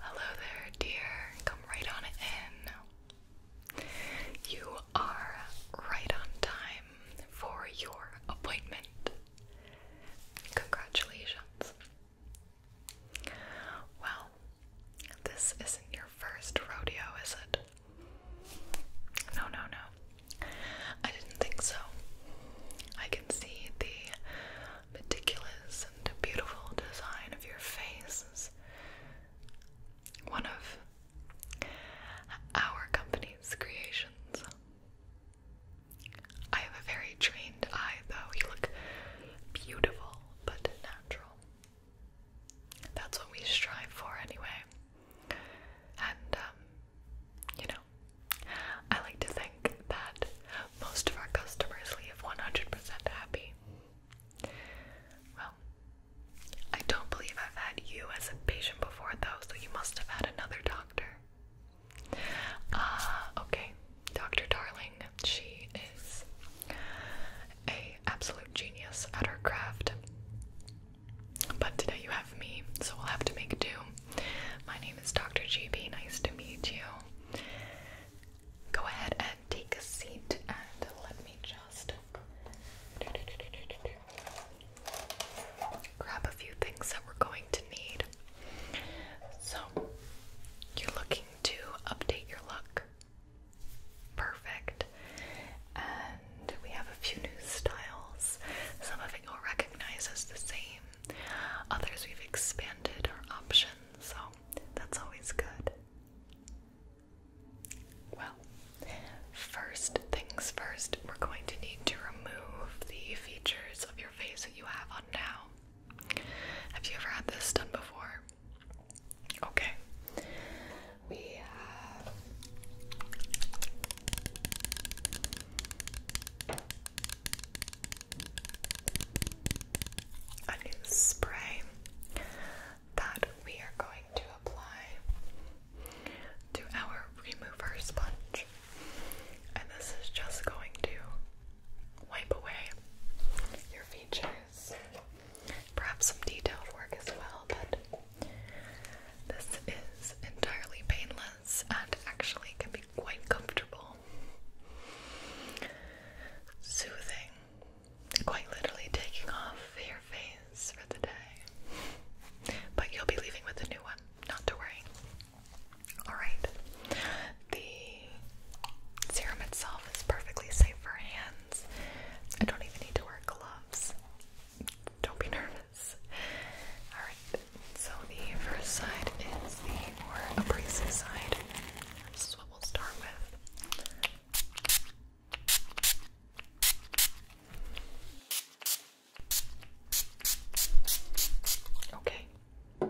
Hello there, dear. Come right on in. You are right on time for your appointment. Congratulations. Well, this isn't your first rodeo, is it? No, no, no. I didn't think so. I can see the meticulous and beautiful design of your faces. One of our company's creations. I have a very trained eye, though. You look beautiful but natural. That's what we strive for, anyway. And, um, you I like to think that most of our customers leave 100% happy. Well, I don't believe I've had you as a patient before, though, so you must have had another doctor. Ah, okay. Dr. Darling, she is a absolute genius at her craft. But today you have me, so we'll have to make do. My name name Dr. GB. Nice to meet you. Go ahead and take a seat and let me just grab a few things that we're going to need. So, you're looking to update your look. Perfect. And we have a few new styles. Some of it you'll recognize as the same, Others we've expanded our options, so that's always good. Well, first things first, we're going to need to remove the features of your face that you have on now. Have you ever had this done before? Okay. We have a new spray that we are going to apply to our remover sponge. And this is just going to wipe away your features. Perhaps some detailed work as well, but this is entirely painless and actually can be quite comfortable. Soothing, quite literally taking off your face for the day. But you'll be leaving with a new one, not to worry. Alright, the serum itself is perfectly safe for hands. I don't even need to wear gloves. Don't be nervous. Alright, so the first side is the more abrasive side. This is what we'll start with. Okay. I'm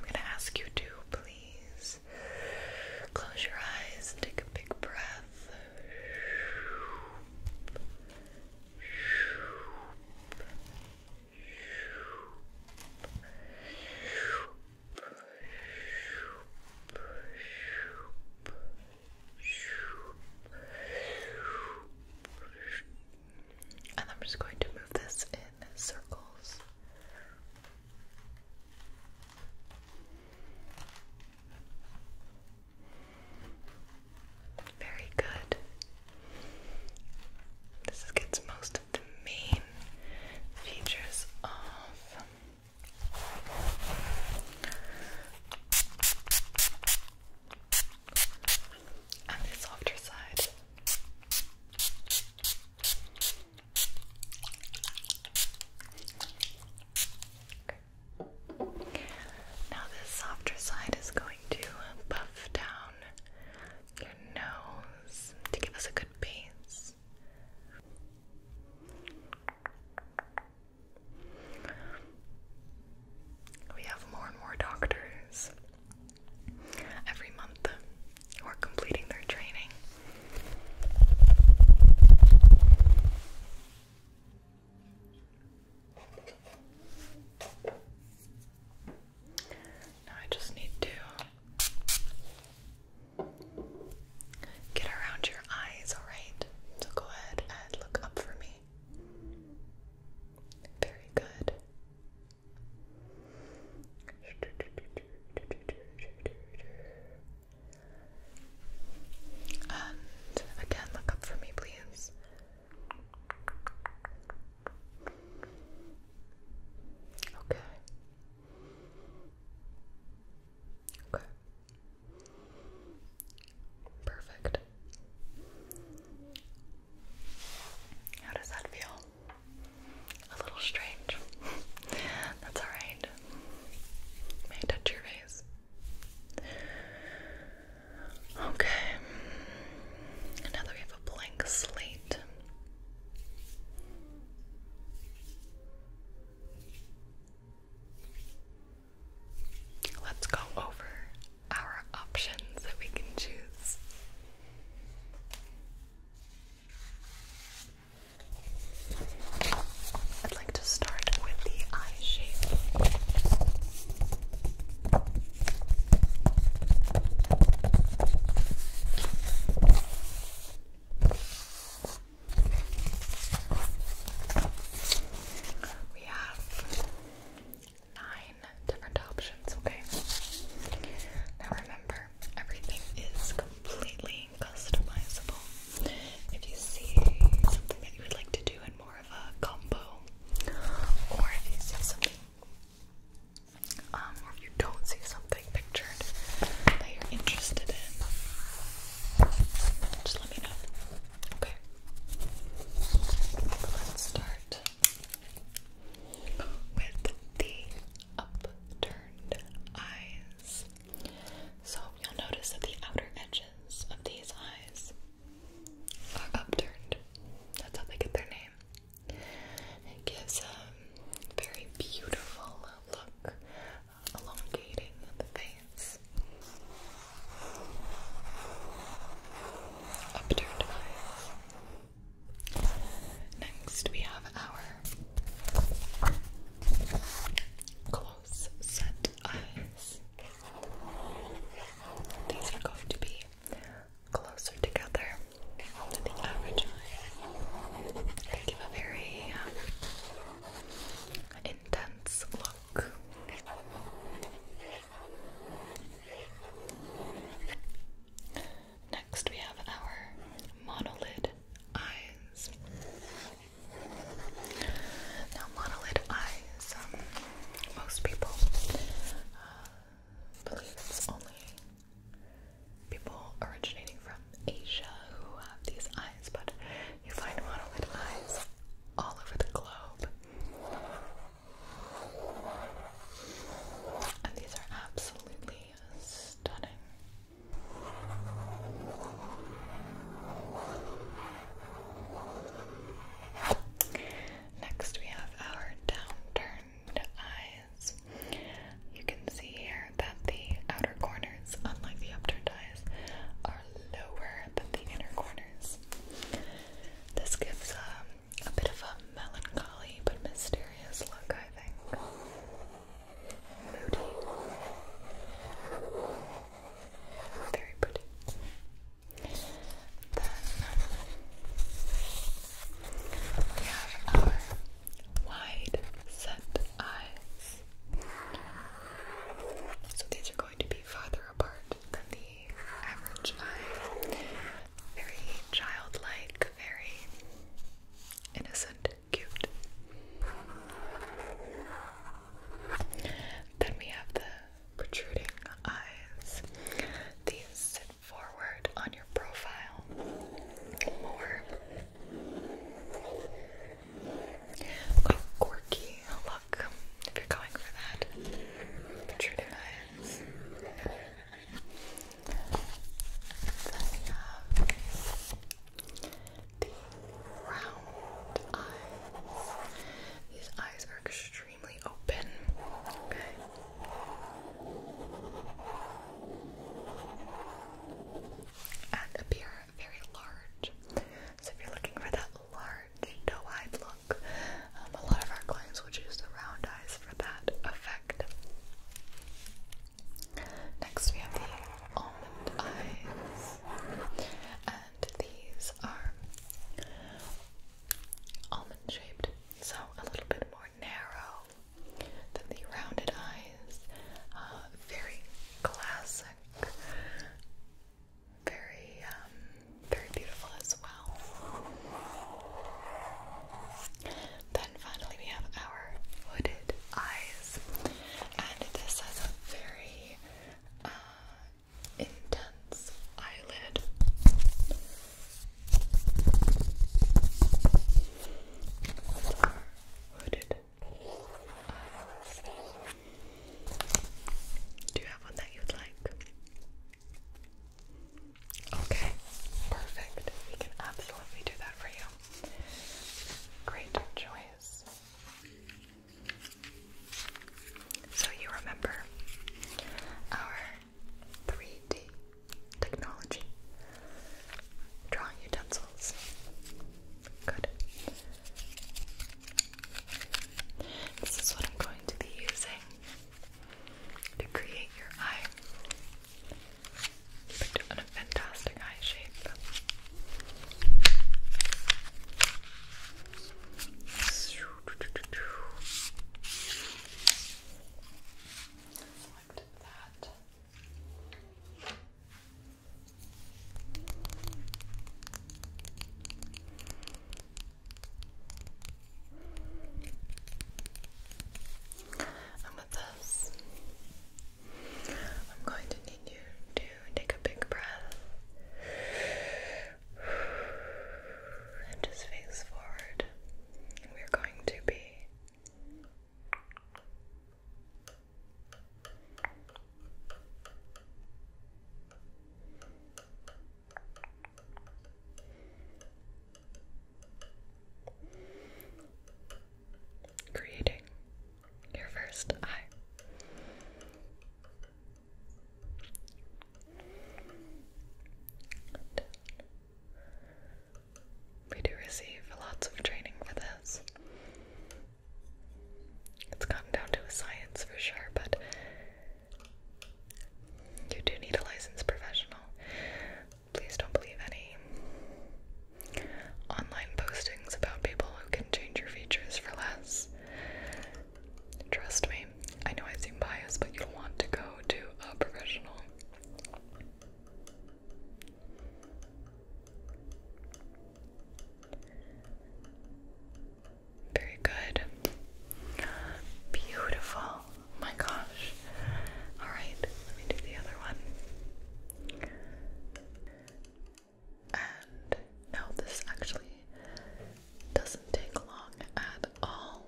going to ask you to please close your eyes and take a big breath. And I'm just going to move this in circles. Very good. This gets most of the main features off. On the softer side. Now, this softer side is going to bow uh, down your nose to give us a good base. We have more and more doctors every month who are completing their training. Now I just need to get around your eyes, alright? So go ahead and look up for me. Very good. And again, look up for me, please. Okay. Okay. Perfect. How does that feel? A little strange. That's alright. May I touch your face? Okay. Now we have a blank slate. Let's go over our options that we can choose. I'd like to start with the eye shape. We have nine different options, okay? Now remember, everything is completely customizable. If you see something that you would like to do in or if you see something, um, or if you don't see something pictured that you're interested in, just let me know. Okay, let's start with the upturned eyes. So you'll notice that the outer edges of these eyes upturned. That's how they get their name. It gives a um, very beautiful look, uh, elongating the face. Upturned eyes. Next, we have our close set eyes. These are going to be closer together than the average eye. give a very um, intense look. Next, we have our monolid eyes. Now, monolid eyes um, most people uh, believe it's only people originating from Asia who have these eyes, but you find monolid eyes all over the globe. And these are absolutely stunning. Next, we have our downturned eyes. You can see here that the outer corners, unlike the upturned eyes, are lower than the inner corners. This gives um, a bit of a melancholy but mysterious look, I think. Moody. Very pretty. Then we have our wide set eyes. So these are going to be farther apart than the average eye. Very childlike, very innocent, cute. Then we have the protruding eyes. These sit forward on your profile more. Quite quirky look if you're going for that. Protruding eyes. Then we have the round eyes. These eyes are extremely appear very large. So if you're looking for that large, doe-eyed look, um, a lot of our clients will choose the round eyes for that effect. Next we have the almond eyes these are almond shaped, so a little bit more narrow than the rounded eyes. Uh, very classic, very, um, very beautiful as well. Then finally, we have our hooded eyes, and this has a very uh, intense eyelid. Do you have one that you'd like? Okay, perfect. We can absolutely do that for you. Great choice. So you remember our 3D technology drawing utensils. Good. This is what I'm going to be using to create your eye. You picked fantastic eye shape. I'm with this, I'm going to need you to take a big breath and just face forward. We're going to be creating your first eye. We do receive lots of training for this. It's gotten down to a science for sure, but you do need a licensed professional. Please don't believe any online postings about people who can change your features for less. Trust me, I know I seem biased, but you'll want to go to a professional. Very good. Beautiful. Oh my gosh. Alright, let me do the other one. And now this actually doesn't take long at all.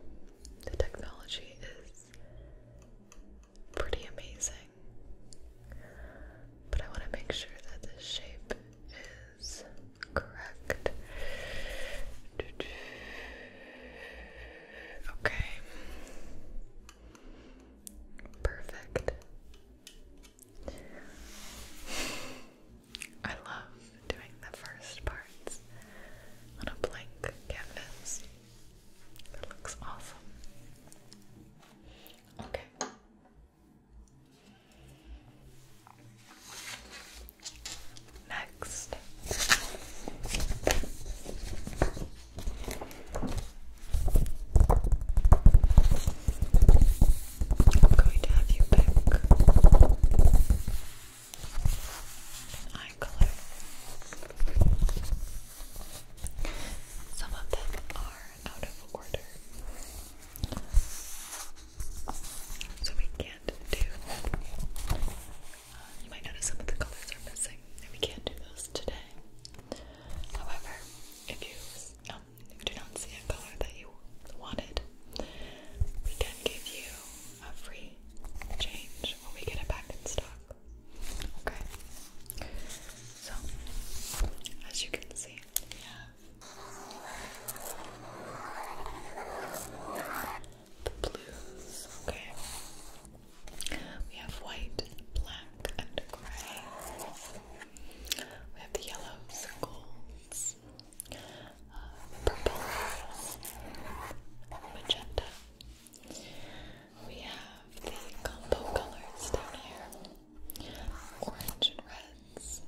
The technology is pretty amazing. But I want to make sure that this shape is correct. Okay. Perfect. I love doing the first parts on a blank canvas. It looks awesome. Okay. Next. I'm going to have you pick eye color. Some of them are out of order, so we can't do. Uh, you might notice some of the colors are missing, and we can't do those today. However, if you do not see a color that you wanted, we can give you a free change when we get it back in stock. Okay. So, as you can see, we the blues. Okay. We have white, black, and gray. We have the yellows, golds, uh, purples, magenta. We have the combo colors down here, orange and reds.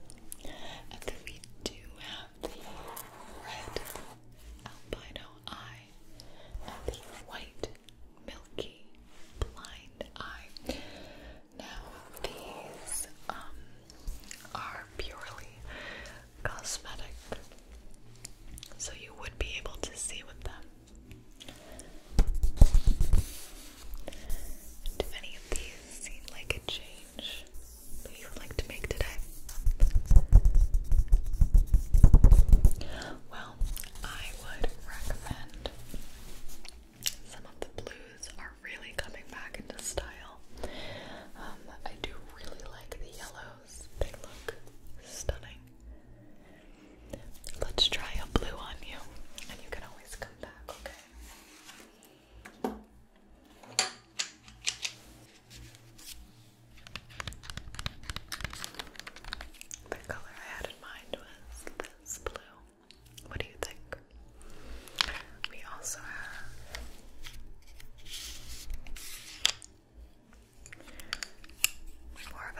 And we do have the red albino eye and the white milky blind eye. Now these um are purely cosmetic. So you would be able to see with them. Do any of these seem like a change that you would like to make today? Well, I would recommend some of the blues are really coming back into style. Um, I do really like the yellows, they look stunning. Let's try a blue on you, and you can always come back, okay? The color I had in mind was this blue. What do you think? We also have more of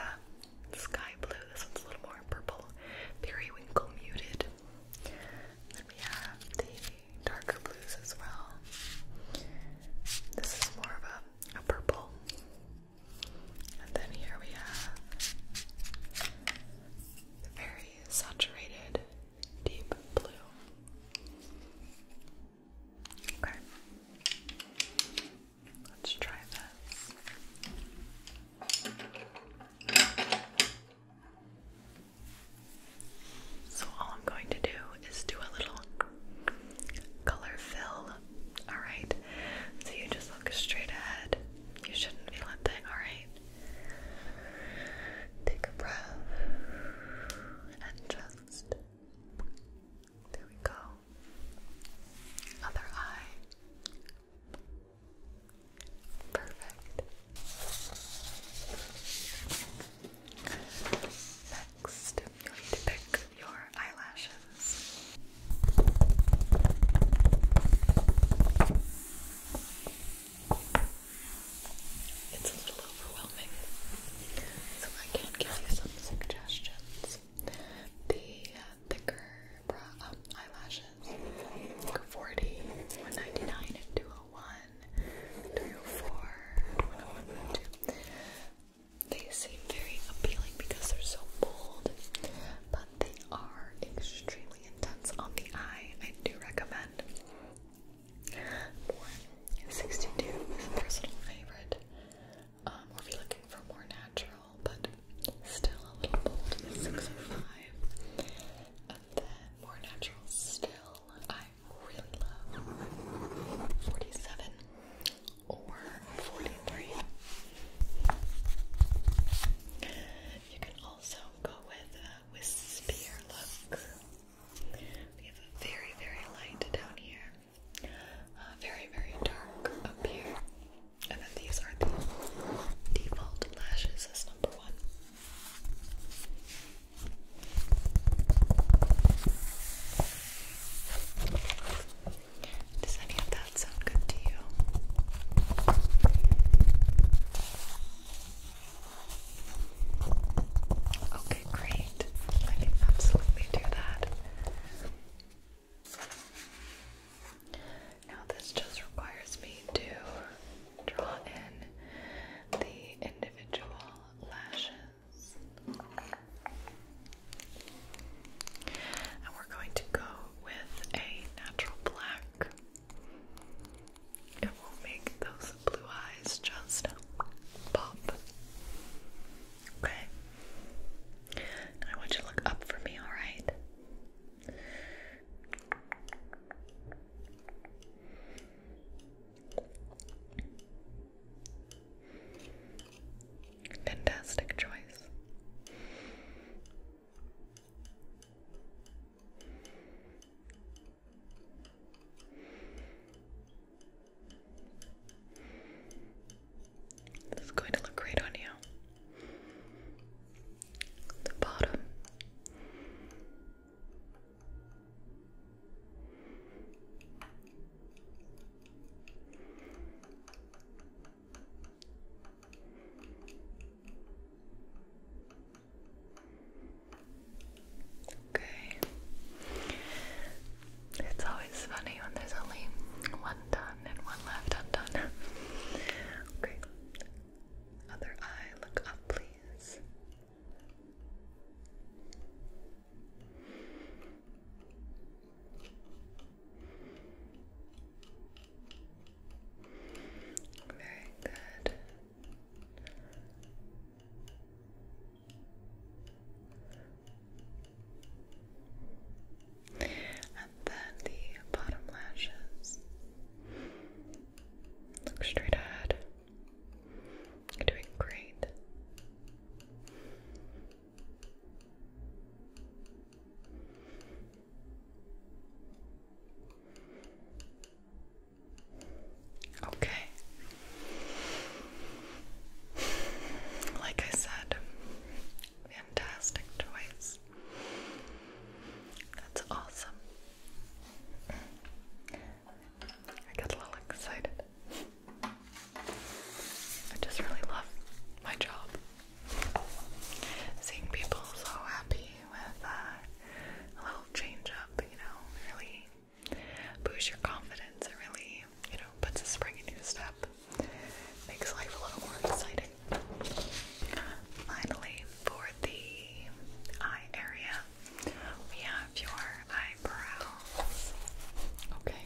a sky blue. This one's a little more purple, periwinkle muted. we have the darker blues as well. This is more of a, a purple. And then here we have the very saturated deep blue. Okay. Let's try this. So, all I'm going to do is do a little color fill. Alright? So, you just look straight ahead. You shouldn't feel a thing, alright? Take a breath and just there we go. Other eye. Perfect. Next, you need to pick your eyelashes. It's a little overwhelming, so I can give you some suggestions. The uh, thicker um, eyelashes like 40, 201, 304, 101, 102. They seem very appealing because they're so bold, but they are extremely intense on the eye. I do recommend. Sixty-two is a personal favorite. or if you're looking for more natural, but still a little bold, is oh And then more natural still, I really love forty-seven or forty-three. You can also go with a uh, wispier look. We have a very, very light down here, uh, very, very dark up here, and then these are the default lashes as number one. Does any of that that sound good to you? Okay, great. I can absolutely do that. Now, this just requires me to draw in the individual lashes we're going to go with a natural black. It will make those blue eyes just pop. Okay. I want you to look up for me, alright? Fantastic choice. This is going to look great on you. The bottom. Okay. It's always funny when there's only one done and one left undone. okay. Other eye, look up, please. Very good. And then the bottom lashes. Look straight ahead. You're doing great. Okay. Like I said, fantastic choice. That's awesome. I get a little excited. I just really love my job. Seeing people so happy with uh, a little change you know, really boosts your confidence. It really, you know, puts a spring in your step. Makes life a little more exciting. Finally, for the eye area, we have your eyebrows. Okay.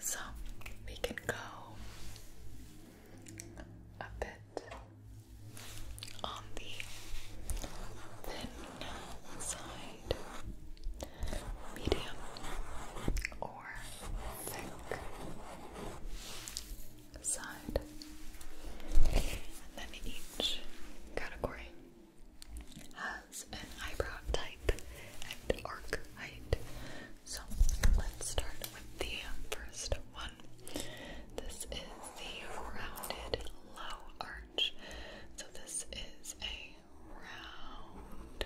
So we can go a bit on the thin side, medium or thick side, and then each category has an eyebrow type and arc height so let's start with the um, first one. This is the rounded low arch. So this is a round,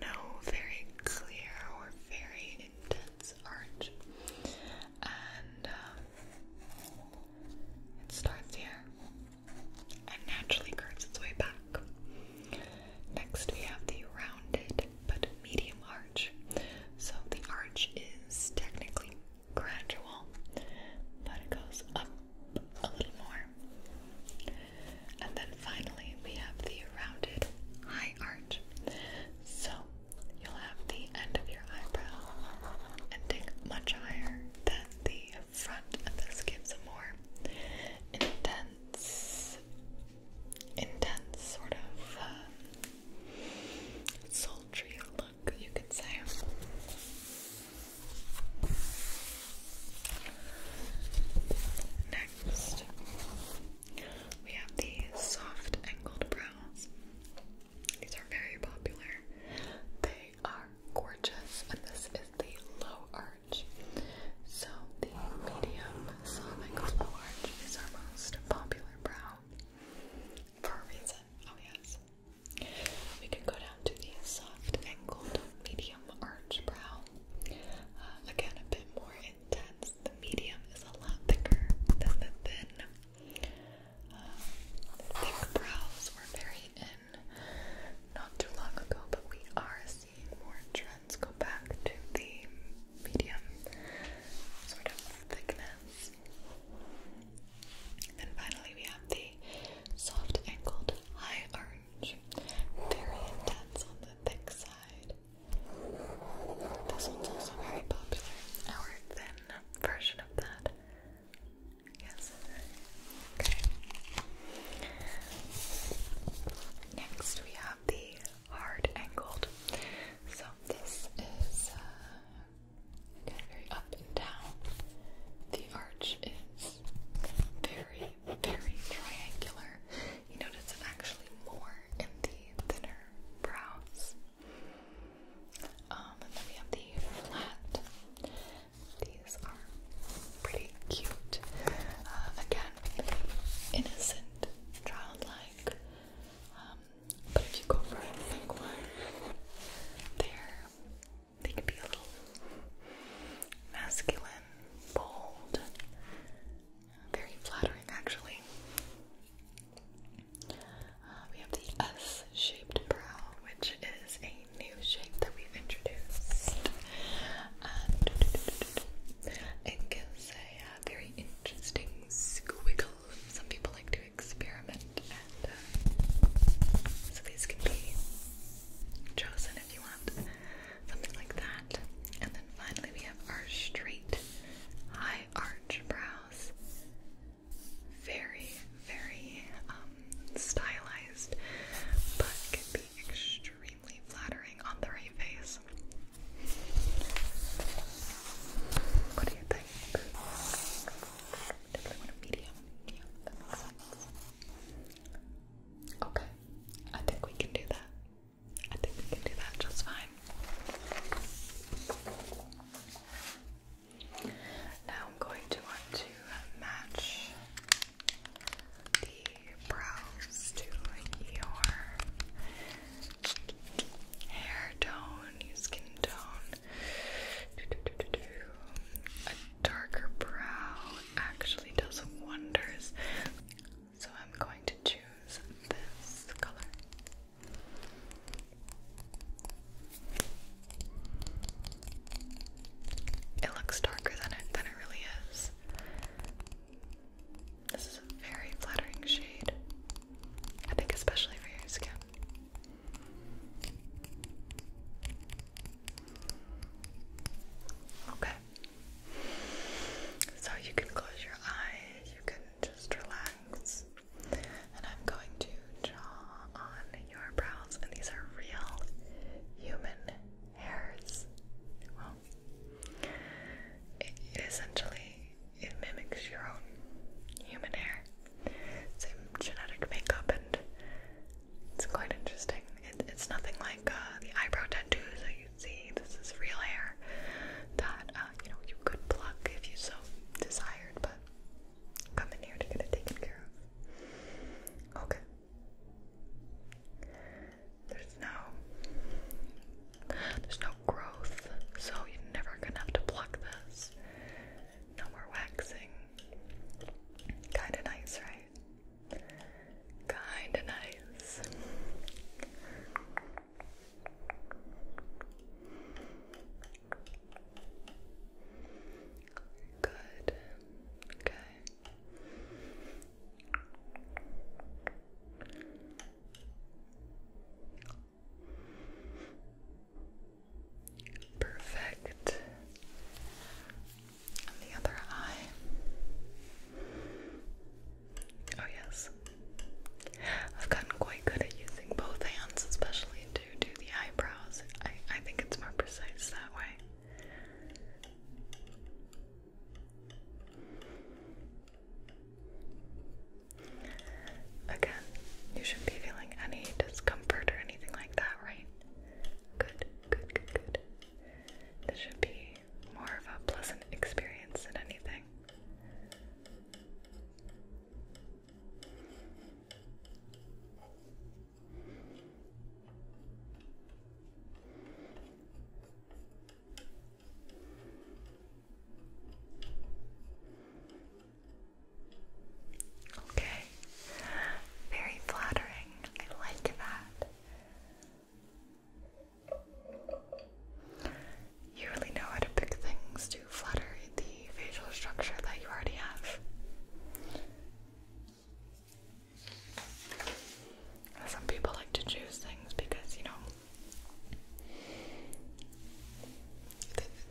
no very clear or very intense arch. And um, it starts here and naturally curves its way back. Next, we have the rounded but medium arch. So the arch is technically gradual, but it goes up a little more. And then finally, we have the rounded high arch. So you'll have the end of your eyebrow ending much higher than the front, and this gives a more intense intense sort of uh, sultry look, you could say. Next, we have the soft angled brows. These are very popular. They are gorgeous, and this is the low so the medium Sonic Flow is our most popular brow for a reason, oh yes. We can go down to the soft angled medium arch brow. Uh, again, a bit more intense. The medium is a lot thicker than the thin. Uh, thick brows were very in not too long ago, but we are see more trends go back to the medium sort of thickness. And finally, we have the soft angled high orange, very intense on the thick side. This one's also very popular. Our thin version of that. Yes. Okay. Next, we have the hard angled. So this is uh, kind of very up and down. The arch is very, very triangular. You notice it actually more in the thinner brows. Um, and then we have the flat. These are pretty cute. Uh, again, innocent, childlike. Um, but if you go for a thick one, they're they can be a little masculine, bold, very flattering actually. Uh, we have the S-shaped brow, which is a new shape that we've introduced. it gives so uh, very interesting squiggle. Some people like to experiment, and uh, so these can be chosen if you want something like that. And then finally, we have our straight high arch brows. Very, very um, stylized, but can be extremely extremely flattering on the right face. What do you think? Definitely want a medium. Yeah, that makes sense. Okay, I think we can do that. I think we can do that just fine. Now I'm going to want to match the brows to your hair tone, your skin tone. A darker brow actually does wonders. So I'm going to choose this color. It looks darker than it than it really is. This is a very flattering shade. I think especially for your skin. Okay. So you can close your eyes, you can just relax. And I'm going to draw on your brows, and these are real human hairs it, essentially it mimics your own human hair. Same genetic makeup, and it's quite interesting. it's nothing like uh, the eyebrow tattoos that you see. This is real hair that uh, you know you could pluck if you so desired, but come in here to get it taken care of. Okay. There's no there's no growth, so you're never gonna have to pluck this. No more waxing. Kinda nice, right? Kinda nice. Good. Okay. Perfect. And the other eye. Oh, yes. I've gotten quite good at using both hands, especially to do the eyebrows. I, I think it's more precise that way. Again, you shouldn't be feeling any discomfort or anything like that, right? Good, good, good, good. This should be more of a pleasant experience than anything. Okay, very flattering. I like that. You really know how to pick things to flatter the facial structure that you already have. Some people like to choose things because, you know,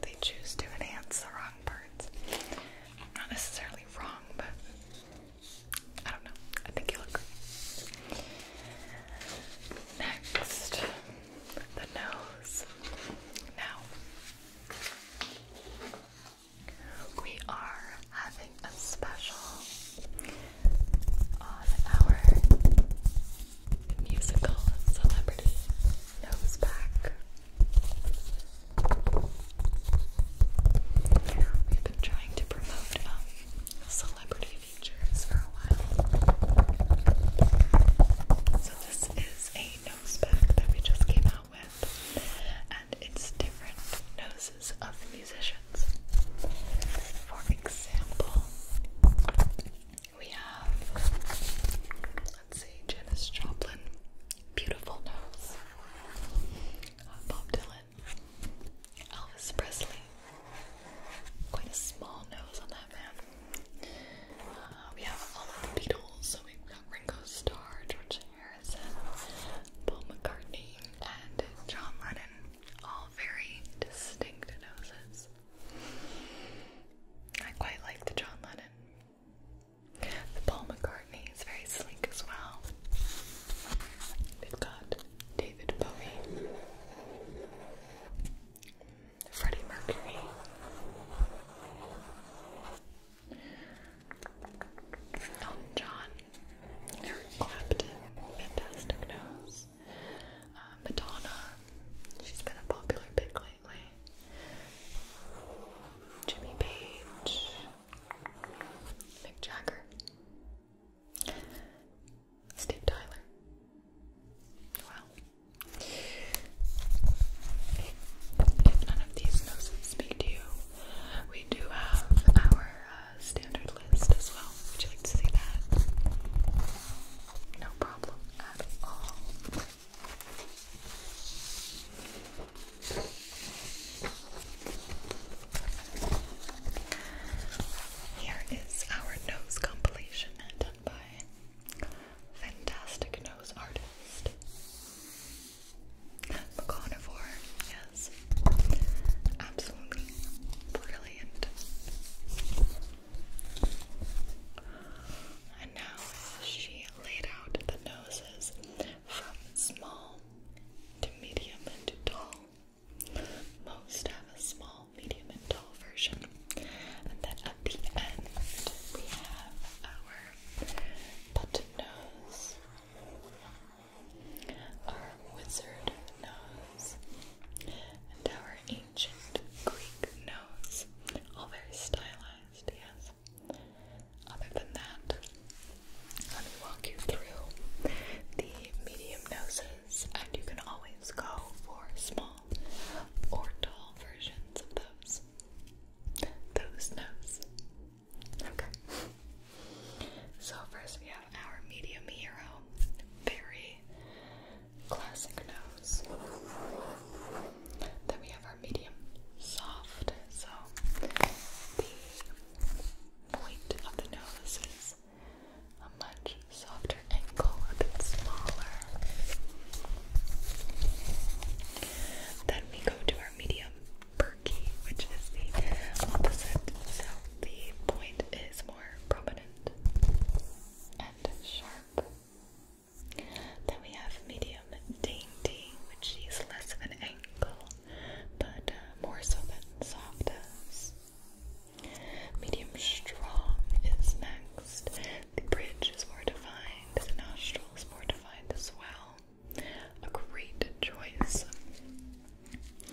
they, choose to enhance the wrong parts. Not necessarily wrong, but I don't know. I think you look Next, the nose. Now, we are having a special on our musical celebrity nose back. We've been trying to promote um, celebrity features for a while. So this is a nose back that we just came out with, and it's different nose of musicians. For example, we have, let's see, Janis Joplin, Beautiful Nose, Bob Dylan, Elvis Presley, quite a small nose on that man. Uh, we have all of the Beatles, so we've got Ringo Starr, George Harrison, Paul McCartney, and John Lennon. All very distinct noses. I quite like the John Lennon. The Paul McCartney is very sleek as well. We've got David Bowie, Freddie Mercury. John, Eric fantastic nose. Um, Madonna, she's been a popular pick lately. Jimmy Page, Mick Jagger, Steve Tyler. Wow. If none of these noses speak to you, we do have our uh, standard list as well. Would you like to see that? No problem at all. Here is our nose compilation done by fantastic nose artist a carnivore, yes. Absolutely brilliant. And now she laid out the noses from small to medium and to tall. Most have a small, medium, and tall version. And then at the end, we have our button nose. Our wizard knows and our ancient Greek nose. All very stylized, yes. Other than that, let me walk you through the medium noses, and you can always go for small or tall versions of those. Those noses. Okay. So first we have our medium hero. Very classic nose. Then we have our medium soft. So the point of the nose is a much softer angle, a bit smaller. Then we go to our medium perky, which is the opposite. So the point is more prominent and sharp. Then we have medium dainty, which is less of an angle, but uh, more so than softest. Medium strong is next. The bridge is more defined, the nostrils more defined as well a great choice.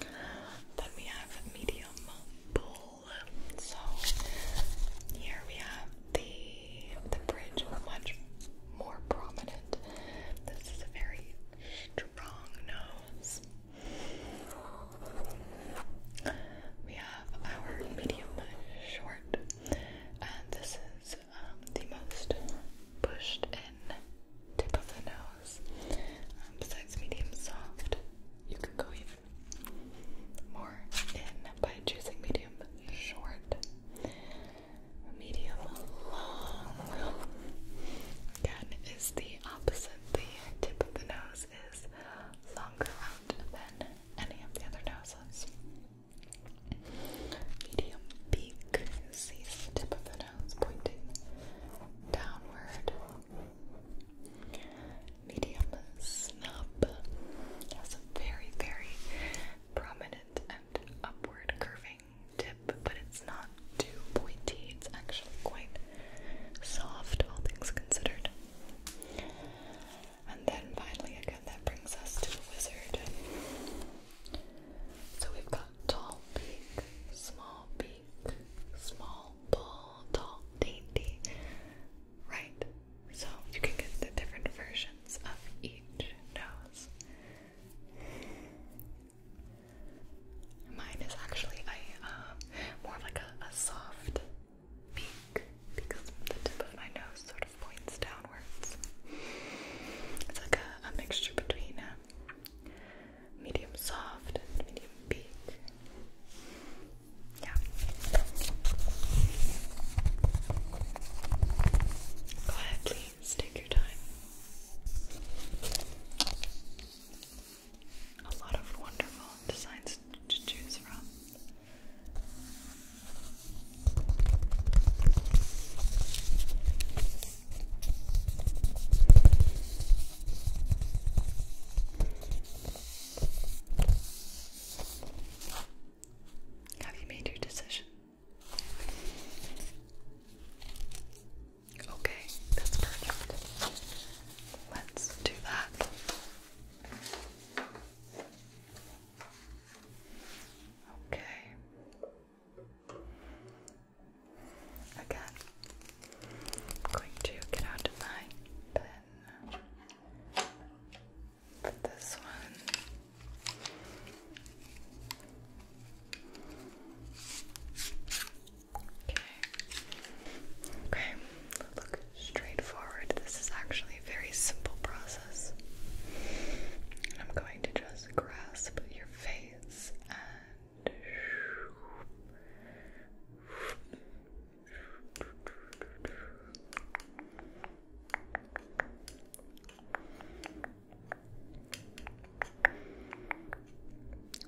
Then we have medium So here we have the the bridge much more prominent. This is a very strong nose. We have our medium short, and this is um, the most pushed in tip of the nose. Um, medium soft, you can go even more in by choosing medium short, medium long. Again, is the opposite. The tip of the nose is longer out than any of the other noses. Medium beak is tip of the nose it's pointing downward. Medium snub has a very, very prominent and upward curving tip, but it's not too pointy, it's actually quite soft, all things considered. And then finally, again, that brings us to the wizard. So we've got tall beak, small beak, small bull, tall dainty. Right. So you can get the different versions of each nose. Mine is actually a um, more of like a, soft beak because the tip of my nose sort of points downwards. It's like a, mixture between uh, medium soft and medium peak. Yeah. Go ahead, please. Take your time. A lot of wonderful designs to choose from. Have you made your decision? Okay, that's perfect. Let's do that. Okay. Again, I'm going to get out my pen. Put this one. Okay. Okay. Look straight forward. This is actually a very simple process. I'm going to just grasp your your face and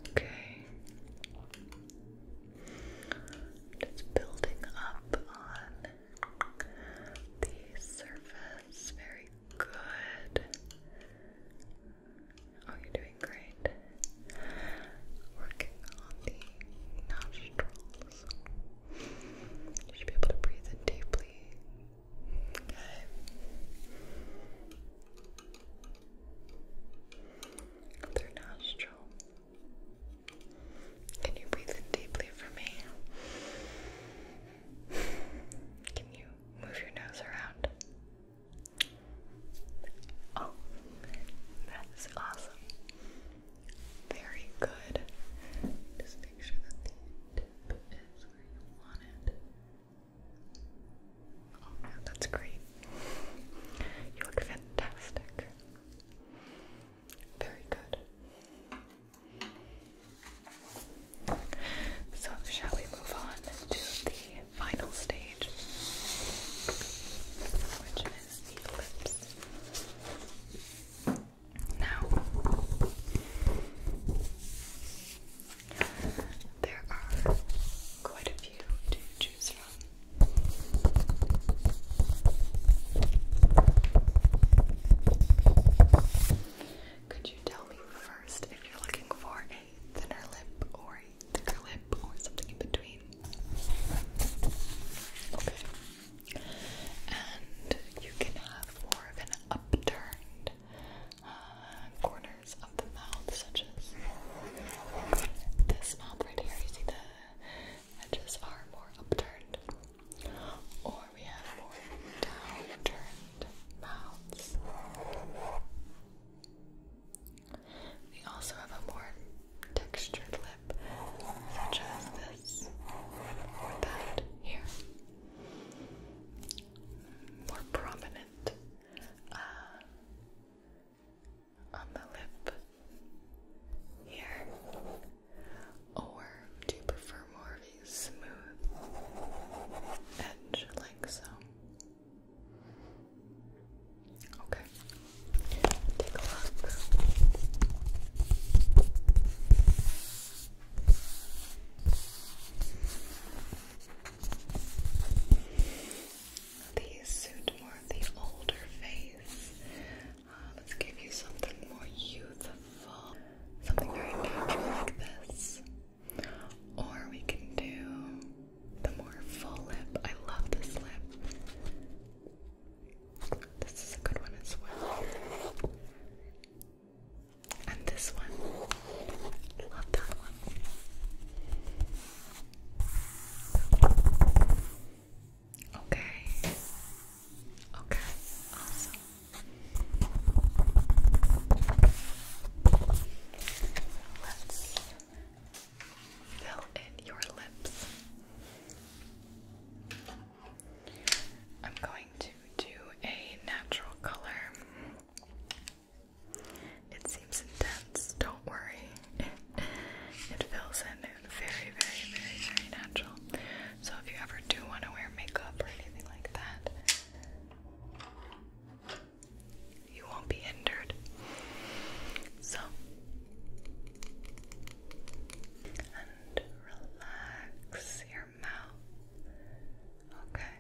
Okay. Just building up on the surface very good. Oh, you're doing great. Working on the nostrils. You should be able to breathe in deeply. Okay. Other nostril. Can you breathe in deeply for me? Can you Move your nose around. Oh, that is awesome. Very good. Just make sure that the tip is where you want it. Oh, that's great. You look fantastic. Very good. So, shall we move on to the final stage, which is the lips? Now, there are quite a few to choose from. Could you tell me first if you're looking for a thinner lip or a thicker lip or something in between? Okay. And you can have more of an upturned uh, corners of the mouth, such as this mouth right here. You see the edges are more upturned or we have more downturned mouths. We also have a more textured lip, such as this or that here. More prominent uh, on the lip here. Or do you prefer more smooth edge, like so. Okay, take a look. These suit more the older face. Uh, let's give you something more youthful something very natural like this. Or we can do the more full lip. I love this lip. This is a good one as well. And this one. Love that one. Okay. Okay, Let's fill in your lips. I'm going to do a natural color. It seems intense, don't worry. It fills in very, very, very, very natural. So if you ever do want to wear makeup or anything like that, you won't be hindered. So and relax your mouth. Okay.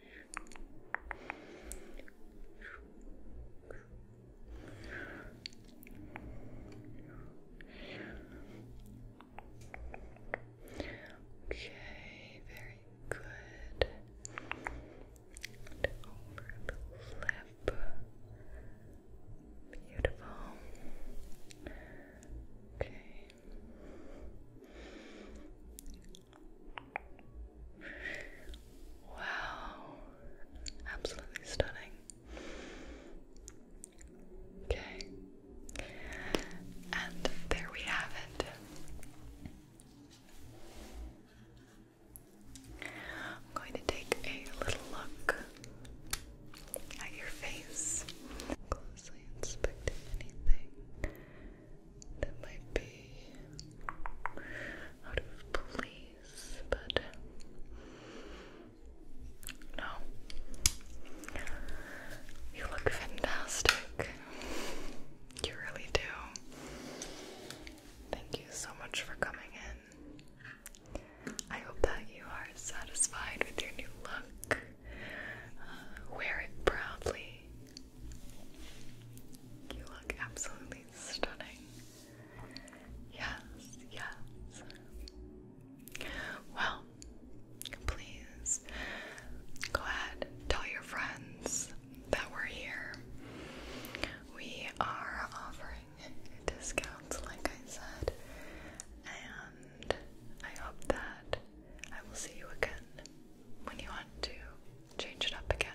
Okay, very good. over the lip. Beautiful. Okay. Wow, absolutely stunning. Okay, and there we have it. I'm going to take a little look at your face, closely inspecting anything that might be out of place, but no. You look fantastic. You really do. Thank you so much for coming in. I hope that you are satisfied with your new look. Uh, wear it proudly. You look absolutely stunning. Yes, yes. Well, please go ahead, tell your friends that we're here. We are offering discounts, like I said, and I hope that I will see you again when you want to change it up again.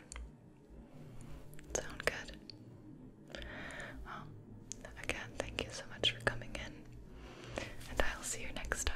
Sound good? Well, again, thank you so much for coming in, and I'll see you next time.